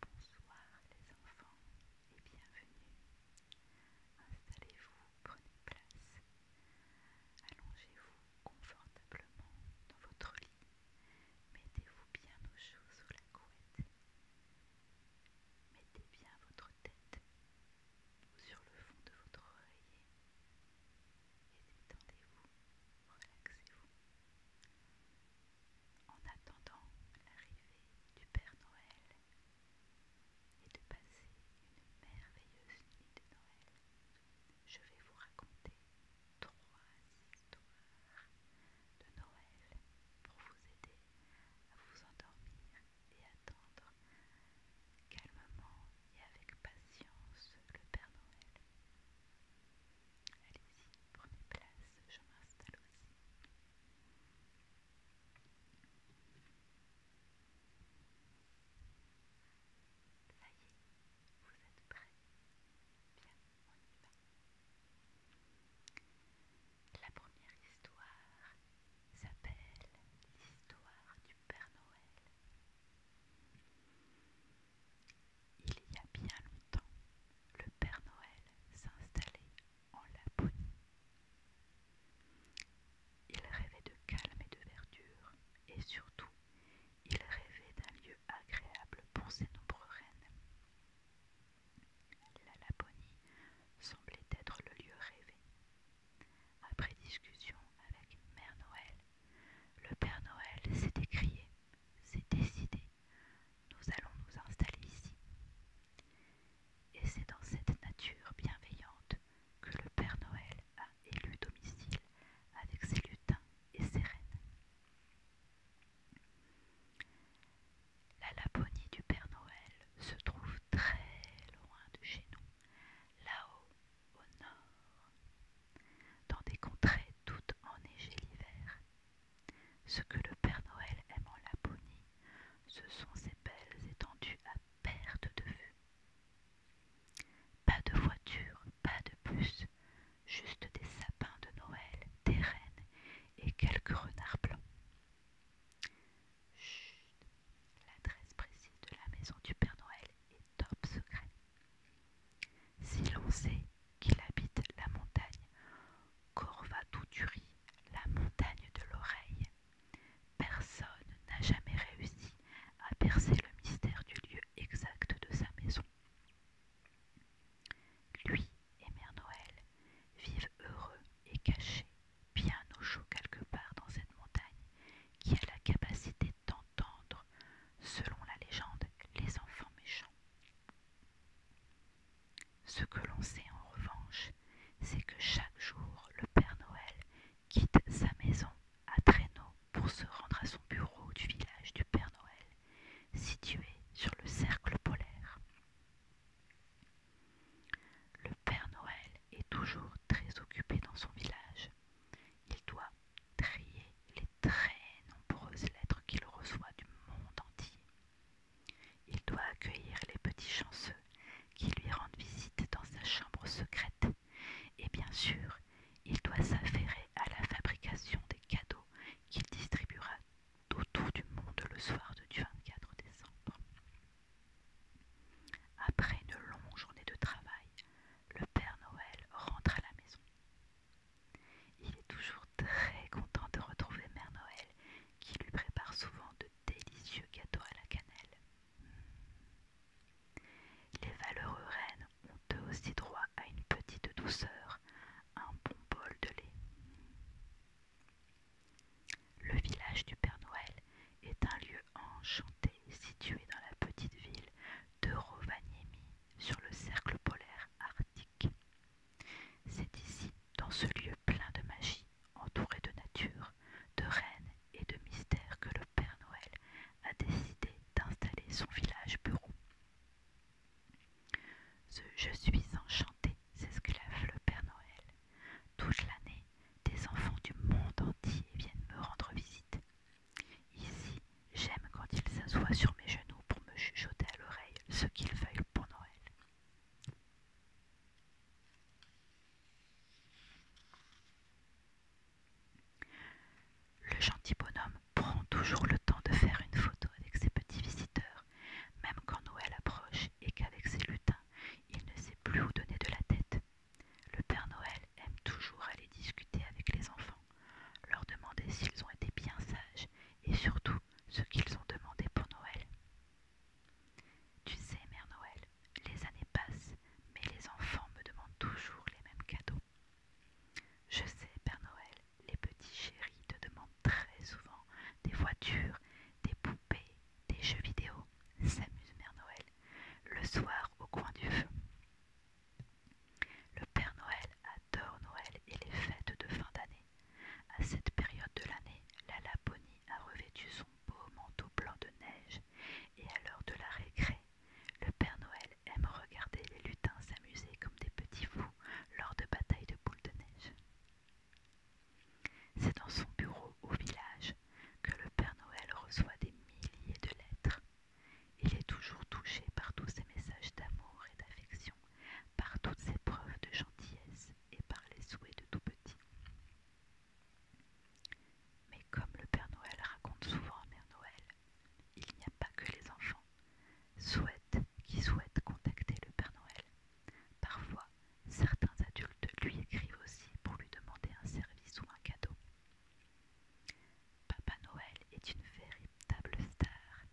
Bonsoir les enfants et bienvenue. Installez-vous, prenez place. Allongez-vous confortablement dans votre lit. Mettez-vous bien au chaud sous la couette. Mettez bien votre tête sur le fond de votre oreiller et détendez-vous relaxez-vous. En attendant l'arrivée du Père Noël et de passer une merveilleuse nuit de Noël, je vais vous raconter trois histoires de Noël pour vous aider à vous endormir et attendre calmement et avec patience le Père Noël. Allez-y, prenez place, je m'installe aussi. Ça y est, vous êtes prêts Bien, on y va. La première histoire s'appelle l'histoire du Père Noël. Il y a bien longtemps, le Père Noël s'installait en Laponie. Il rêvait de calme et de verdure, et surtout, il rêvait d'un lieu agréable pour ses nombreux reines. La Laponie semblait être le lieu rêvé. Après discussion avec Mère Noël, le Père Noël s'est écrié, s'est décidé nous allons nous installer ici. Et c'est dans cette nature bienveillante que le Père Noël a élu domicile avec ses lutins et ses reines. La Laponie du Père Noël se trouve très loin de chez nous, là-haut au nord, dans des contrées toutes enneigées l'hiver ce que le Père Noël aime en Laponie, ce sont ses belles étendues à perte de vue. Pas de voiture, pas de bus, juste des sapins de Noël, des rennes et quelques renards blancs. Chut, l'adresse précise de la maison du Père Noël est top secret. Si qu'il habite la montagne. Corvatuturi, la montagne de l'oreille. Personne n'a jamais réussi à percer le mystère du lieu exact de sa maison. Lui et Mère Noël vivent heureux et cachés, bien au chaud quelque part dans cette montagne, qui a la capacité d'entendre, selon la légende, les enfants méchants. Ce que l'on sait en revanche, c'est que chaque jour, le Père Noël quitte sa maison à traîneau pour se rendre à son bureau du village du Père Noël, situé sur le cercle polaire. Le Père Noël est toujours très occupé dans son village. Il doit trier les très nombreuses lettres qu'il reçoit du monde entier. Il doit accueillir les petits chanceux qui lui rendent visite dans sa chambre secrète et bien sûr, il doit s'affairer à la fabrication des cadeaux qu'il distribuera autour du monde le soir du 24 décembre. Après une longue journée de travail, le Père Noël rentre à la maison. Il est toujours très content de retrouver Mère Noël qui lui prépare souvent de délicieux gâteaux à la cannelle. Les valeureux reines ont eux aussi droit à une petite douceur, un bon bol de lait. Le village du Père Noël est un lieu enchanté situé dans la petite ville de Rovaniemi sur le cercle polaire arctique. C'est ici, dans ce lieu plein de magie, entouré de nature, de reines et de mystères, que le Père Noël a décidé d'installer son village bureau. Je suis enchanté, s'esclave le Père Noël. Toute l'année, des enfants du monde entier viennent me rendre visite. Ici, j'aime quand ils s'assoient sur mes genoux pour me chuchoter à l'oreille ce qu'ils veulent pour Noël. Le gentil bonhomme prend toujours le temps de faire une photo avec ses petits visiteurs, même quand Noël approche et qu'avec ses lutins, il ne sait plus où donner de la tête. Le Père Noël aime toujours aller discuter avec les enfants, leur demander s'ils ont été bien sages et surtout ce qu'ils ont demandé pour Noël. Tu sais, Mère Noël, les années passent, mais les enfants me demandent toujours les mêmes cadeaux. Je sais, Père Noël, les petits chéris te demandent très souvent des voitures, des poupées, des jeux vidéo. S'amuse Mère Noël, le soir au coin du feu. Le Père Noël adore Noël et les fêtes de fin d'année. À cette période de l'année, la Laponie a revêtu son beau manteau blanc de neige, et à l'heure de la récré, le Père Noël aime regarder les lutins s'amuser comme des petits fous lors de batailles de boules de neige. C'est dans son bureau au village que le Père Noël reçoit des milliers de lettres. Il est toujours touché par tous ces messages d'amour et d'affection par toutes ses preuves de gentillesse et par les souhaits de tout petit. Mais comme le Père Noël raconte souvent à Mère Noël, il n'y a pas que les enfants qui souhaitent contacter le Père Noël. Parfois, certains adultes lui écrivent aussi pour lui demander un service ou un cadeau. Papa Noël est une véritable star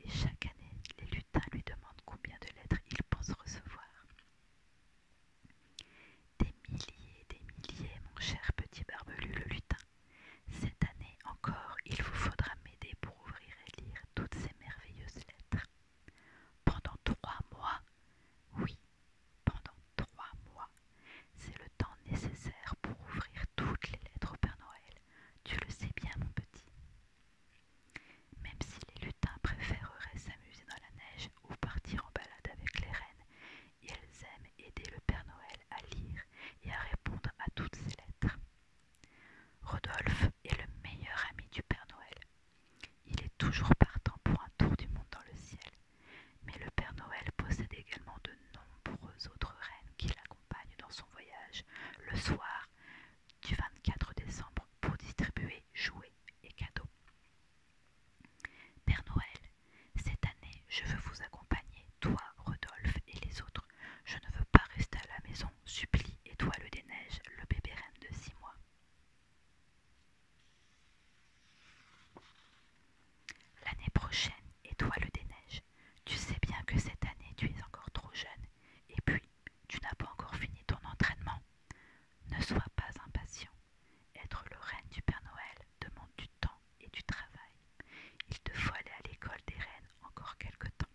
et chaque année, les lui demande combien de lettres il pense recevoir. Des milliers, des milliers, mon cher petit barbelu le lutin. Cette année encore, il vous faudra m'aider pour ouvrir et lire toutes ces merveilleuses lettres. Pendant trois mois, oui, pendant trois mois, c'est le temps nécessaire pour ouvrir toutes les lettres au Père Noël. Tu le sais bien, mon petit. Même si les lutins préféreraient s'amuser dans la neige ou partir en balade avec les reines, ils aiment aider le Père Noël à lire et à répondre à toutes ses lettres. Rodolphe est le meilleur ami du Père Noël. Il est toujours partant pour un tour du monde dans le ciel. Mais le Père Noël possède également de nombreuses autres reines qui l'accompagnent dans son voyage, le soir, du 24 décembre pour distribuer jouets et cadeaux. Père Noël, cette année, je veux vous accompagner, toi, Rodolphe et les autres. Je ne veux pas rester à la maison, supplie Étoile des Neiges, le bébé reine de six mois. L'année prochaine, Étoile des Neiges, tu sais bien que cette année, tu es encore trop jeune. Et puis, tu n'as pas encore fini ton entraînement. Ne sois pas impatient. Être le reine du Père Noël demande du temps et du travail. Il te faut aller à l'école des reines encore quelque temps.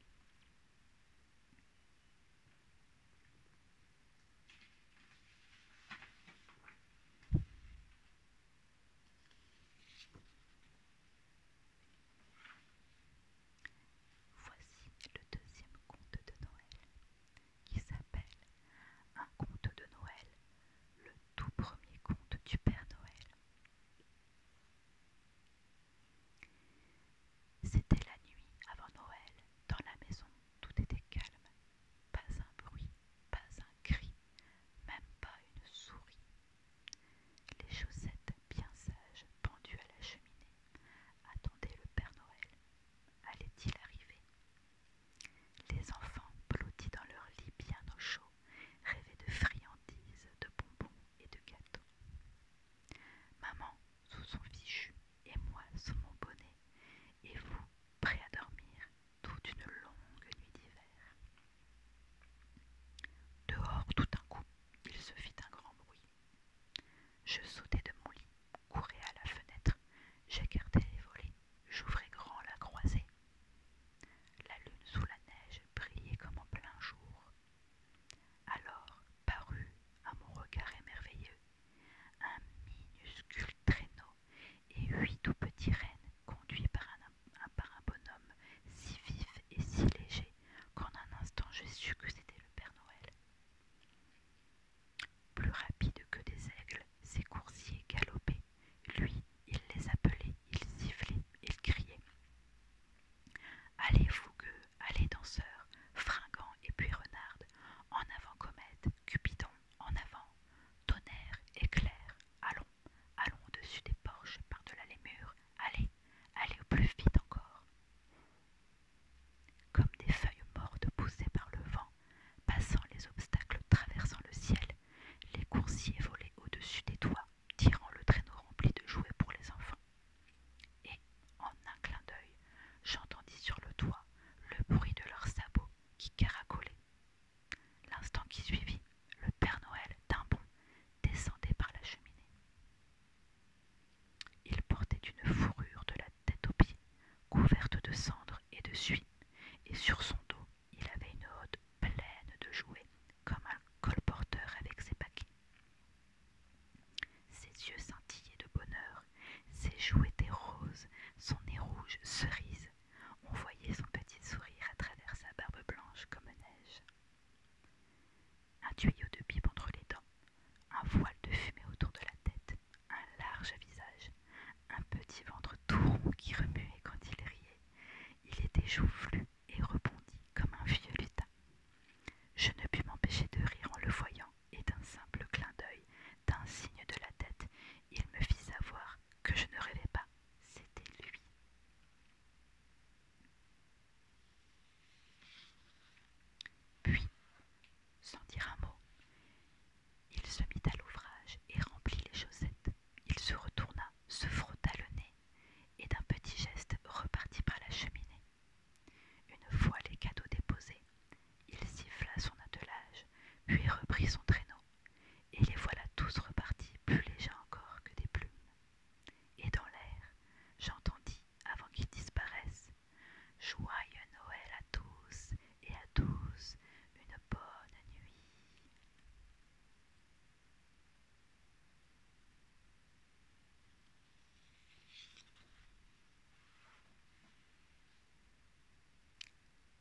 Voici le deuxième conte de Noël, qui s'appelle Un conte de Noël, le tout premier conte du Père Noël. C'était la nuit avant Noël, dans la maison, tout était calme, pas un bruit, pas un cri, même pas une souris, les chaussettes bien sages, pendues à la cheminée, attendaient le Père Noël. Allait-il arriver Les enfants, blottis dans leur lit bien au chaud, rêvaient de friandises, de bonbons et de gâteaux. Maman, sous son fichu, et moi, sous mon bonnet, et vous, prêt à dormir, toute une longue nuit d'hiver. Dehors, tout d'un coup, il se fit un grand bruit. Je sautais de mon lit, courais à la fenêtre, j'écartais les volets, j'ouvrais grand la croisée. La lune sous la neige brillait comme en plein jour. Alors parut à mon regard émerveilleux un minuscule traîneau et huit tout petits rennes conduits par un bonhomme si vif et si léger qu'en un instant j'ai su que c'était le Père Noël. Plus rapide que des aigles, ses coursiers galopaient. Lui, il les appelait, il sifflait, il criait. Allez, fougueux, allez, danseurs, fringants et puis renardes, en avant, comète, Cupidon, en avant, tonnerre, éclair, allons, allons au-dessus des porches, par-delà les murs, allez, allez au plus vite encore. Comme des feuilles mortes poussées par le vent, passant les obstacles, traversant le ciel, les coursiers volaient au-dessus des toits, tirant le traîneau rempli de jouets pour les enfants. Et, en un clin d'œil, j'entendis sur le toit le bruit de leurs sabots qui caracolaient. L'instant qui suivit, le Père Noël, d'un bond, descendait par la cheminée. Il portait une fourrure de la tête aux pieds, couverte de cendres et de suie, et sur son dos il avait une hôte pleine de jouets, comme un colporteur avec ses paquets. Ses yeux scintillaient de bonheur, ses joues étaient roses, son nez rouge cerise. On voyait son petit sourire à travers sa barbe blanche comme neige. Un tuyau de pipe entre les dents, un voile de fumée autour de la tête, un large visage, un petit ventre tout qui remuait quand il riait. Il était joufflu et rebondit comme un vieux lutin. Je ne pus m'empêcher de rire en le voyant, et d'un simple clin d'œil, d'un signe de la tête, il me fit savoir que je ne rêvais pas, c'était lui. Puis, sans dire un mot, il se mit à l'ouvrage et remplit les chaussettes. Il se retourna, se frotta le nez et d'un petit geste repartit par la cheminée. Une fois les cadeaux déposés, il siffla son attelage, puis reprit son traîneau, et les voilà tous repartis plus légers encore que des plumes. Et dans l'air, j'entendis avant qu'ils disparaissent. Joyeux Noël à tous et à tous, une bonne nuit.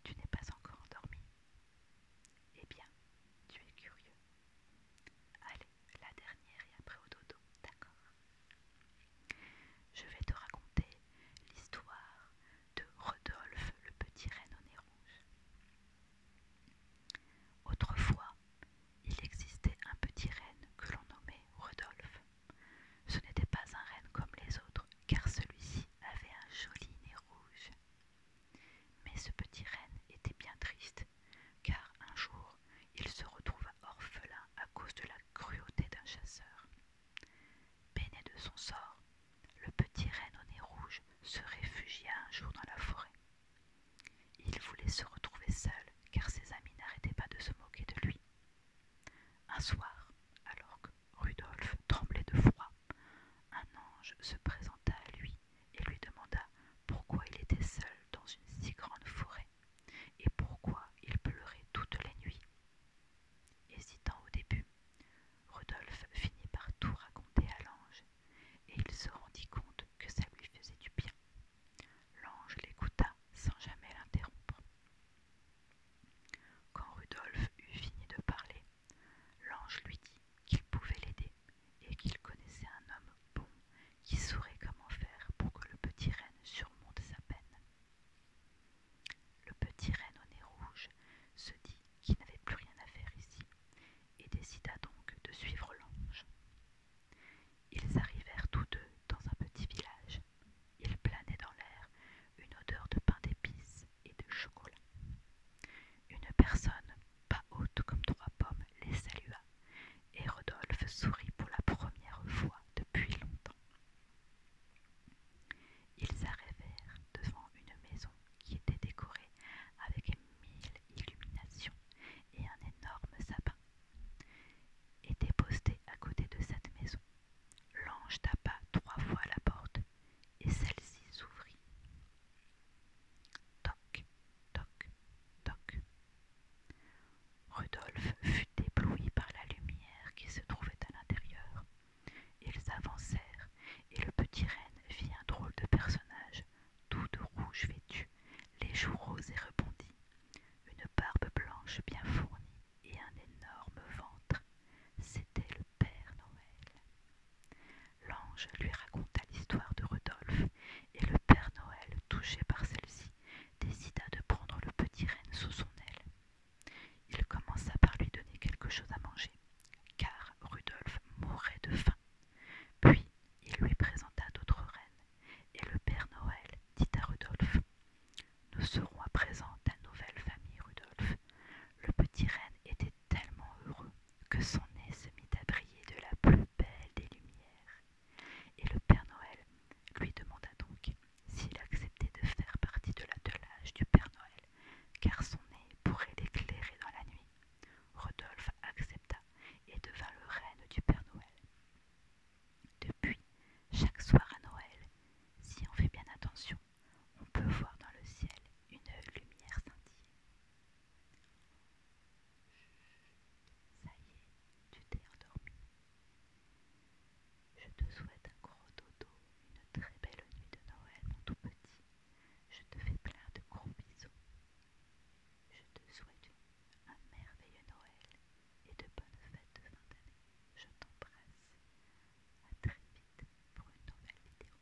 Tu n'es pas encore endormi Eh bien, tu es curieux. Allez, la dernière et après au dodo, d'accord Je vais te raconter l'histoire de Rodolphe le petit reine au nez rouge. Autrefois, il existait un petit renne que l'on nommait Rodolphe. Ce n'était pas un renne comme les autres, car celui-ci avait un joli nez rouge. Mais ce petit renne était bien triste, car un jour, il se retrouva orphelin à cause de la cruauté d'un chasseur. Peiné de son sort, le petit renne au nez rouge se réfugia un jour dans la forêt. Il voulait se retrouver seul car ses amis n'arrêtaient pas de se moquer de lui. Un soir, alors que Rudolf tremblait de froid, un ange se présenta à lui et lui demanda pourquoi il était seul dans une si grande forêt et pourquoi il pleurait toutes les nuits. Hésitant au début, rudolphe finit par tout raconter à l'ange, et il se rendit compte que ça lui faisait du bien. L'ange l'écouta sans jamais l'interrompre. Quand Rudolphe eut fini de parler, l'ange lui dit qu'il pouvait l'aider et qu'il connaissait un homme bon qui saurait comment faire pour que le petit renne surmonte sa peine. Le petit renne au nez rouge se dit qu'il n'avait plus rien à faire ici et décida donc de suivre l'ange. Ils arrivèrent tous deux dans un petit village. Il planait dans l'air une odeur de pain d'épices et de chocolat. Une personne, pas haute comme trois pommes, les salua et Rodolphe sourit pour la première fois depuis longtemps. Ils arrivèrent devant une maison qui était décorée avec mille illuminations et un énorme sapin. Était posté à côté de cette maison. L'ange tapa trois fois la porte et celle-ci s'ouvrit. Toc, toc, toc. Rudolphe fut ébloui par la lumière qui se trouvait à l'intérieur. Ils avancèrent, et le petit renne vit un drôle de personnage, tout de rouge vêtu, les joues roses et rebondies, une barbe blanche bien fournie et un énorme ventre. C'était le Père Noël. L'ange lui raconta l'histoire de Rodolphe, et le Père Noël, touché par celle-ci, décida de prendre le petit renne sous son aile. Il commença par lui donner quelque chose à manger, car Rudolf mourait de faim. Puis il lui présenta d'autres reines, et le Père Noël dit à Rudolf Nous serons à présent ta nouvelle famille, Rudolf. Le petit renne était tellement heureux que son nez se mit à briller de la plus belle des lumières. Et le Père Noël lui demanda donc s'il acceptait de faire partie de l'attelage du Père Noël, car son nez pourrait l'éclairer dans la nuit. Rodolphe accepta et devint le reine du Père Noël. Depuis, chaque soir à Noël, si on fait bien attention, on peut voir dans le ciel une lumière scintiller. Ça y est, tu t'es endormi. Je te souhaite un gros dodo, une très belle nuit de Noël, mon tout petit. Je te fais plein de gros bisous. Je te souhaite un merveilleux Noël et de bonnes fêtes de fin d'année. Je t'embrasse. À très vite pour une nouvelle vidéo.